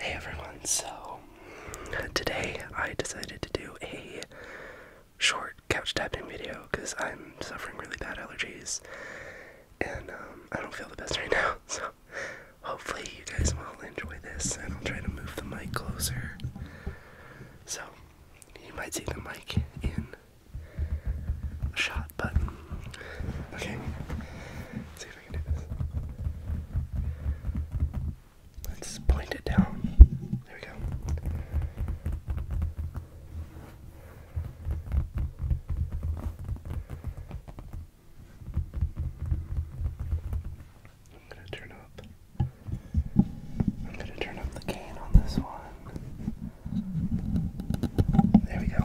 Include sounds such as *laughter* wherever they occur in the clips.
Hey everyone, so today I decided to do a short couch typing video because I'm suffering really bad allergies and um, I don't feel the best right *laughs* now, so hopefully you guys will enjoy this and I'll try to move the mic closer. So you might see the mic in a shot, but okay. Let's Let's point it down. There we go. I'm gonna turn up. I'm gonna turn up the gain on this one. There we go.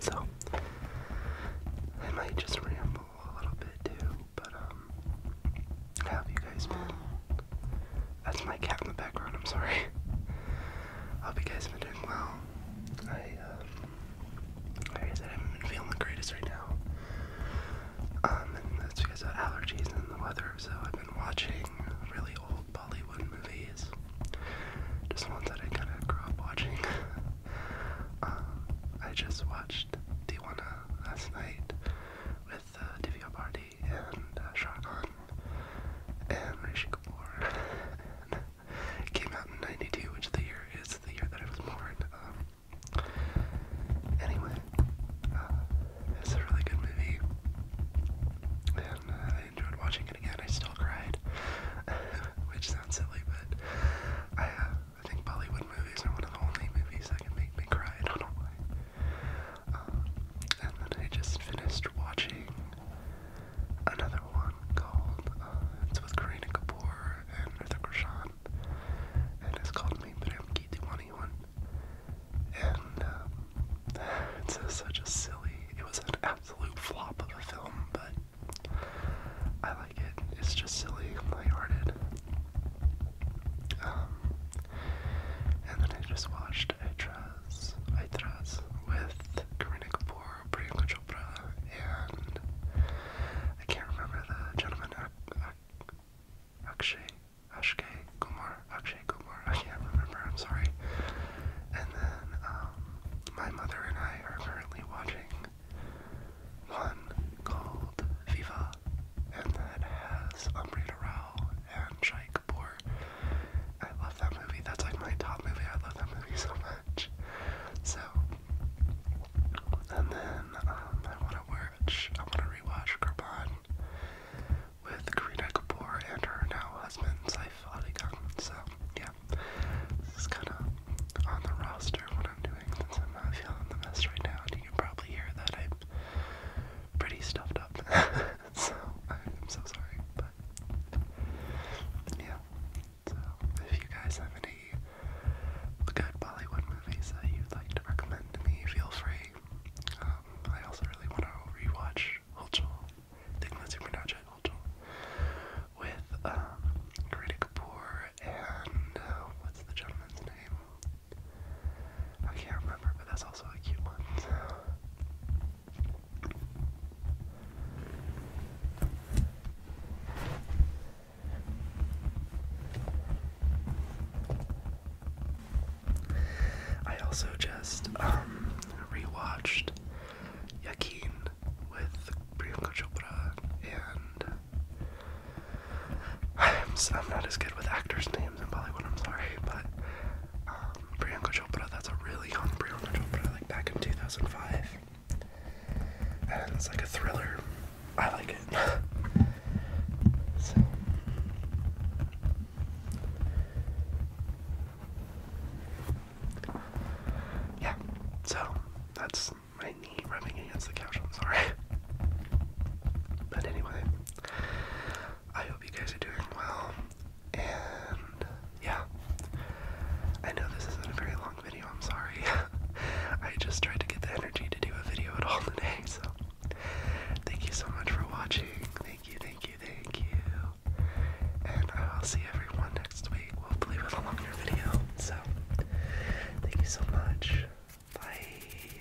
So I might just ramble a little bit too. But um, how have you guys been? That's my cat in the background. I'm sorry. I *laughs* hope you guys have been doing well. I um, I said, I haven't been feeling the greatest right now. Um, and that's because of allergies and the weather. So I've been watching really old Bollywood movies, just ones that I kind of grew up watching. um, *laughs* I just watched Diwana last night with with uh, Divya and uh, Shah Khan and Rishi Kapoor. came out in 92, which the year is the year that I was born. Um, anyway, uh, it's a really good movie. And uh, I enjoyed watching it again. I still cried, *laughs* which sounds silly, but I uh, I think Bollywood movies are one of the only movies that can make me cry. I don't know why. Um, and then I just finished watching another one called, uh, it's with Kareena Kapoor and Hrithik Roshan, and it's called Me Prem Ki Diwani And um, it's such a silly, it was an absolute flop of a film, but I like it. It's just silly and lighthearted. Um, and then I just watched Aitraz, Aitraz with Kareena Kapoor, Priyanka Chopra, and I can't remember the gentleman, Akshay, Akshay Kumar, Akshay Kumar, I can't remember, I'm sorry. And then um, my mother and I are currently watching one called Viva, and that has Amrita Rao and Shai Kapoor. I love that movie. That's like my top movie. I love that movie so much. So, and then um, I want to watch, I want to rewatch Kurban with Kareena Kapoor and her now husband Saif Ali Khan. So, yeah yeah, kind of on the roster what I'm doing since I'm not feeling the best right now. And you can probably hear that I'm pretty stuffed up. *laughs* so I'm so sorry, but yeah. So if you guys have any good Bollywood movies that you'd like to recommend to me, feel free. Um, I also really want to rewatch Hulchul. I think with um, Kapoor and uh, what's the gentleman's name? I can't remember, but that's also a cute one. I also just um, rewatched Yakin with Priyanka Chopra, and I'm not as good with actors' names in Bollywood. I'm sorry, but um, Priyanka Chopra. That's a really young Priyanka Chopra, like back in 2005, and it's like a thriller. I like it. *laughs* Yeah, so that's my knee rubbing against the couch. I'm sorry. *laughs* But anyway, I hope you guys are doing well. And yeah, I know this isn't a very long video. I'm sorry. *laughs* I just tried to get the energy to do a video at all today. So thank you so much for watching. Thank you, thank you, thank you. And uh, I'll see everyone next week, hopefully with a longer video. So, thank you so much. Bye.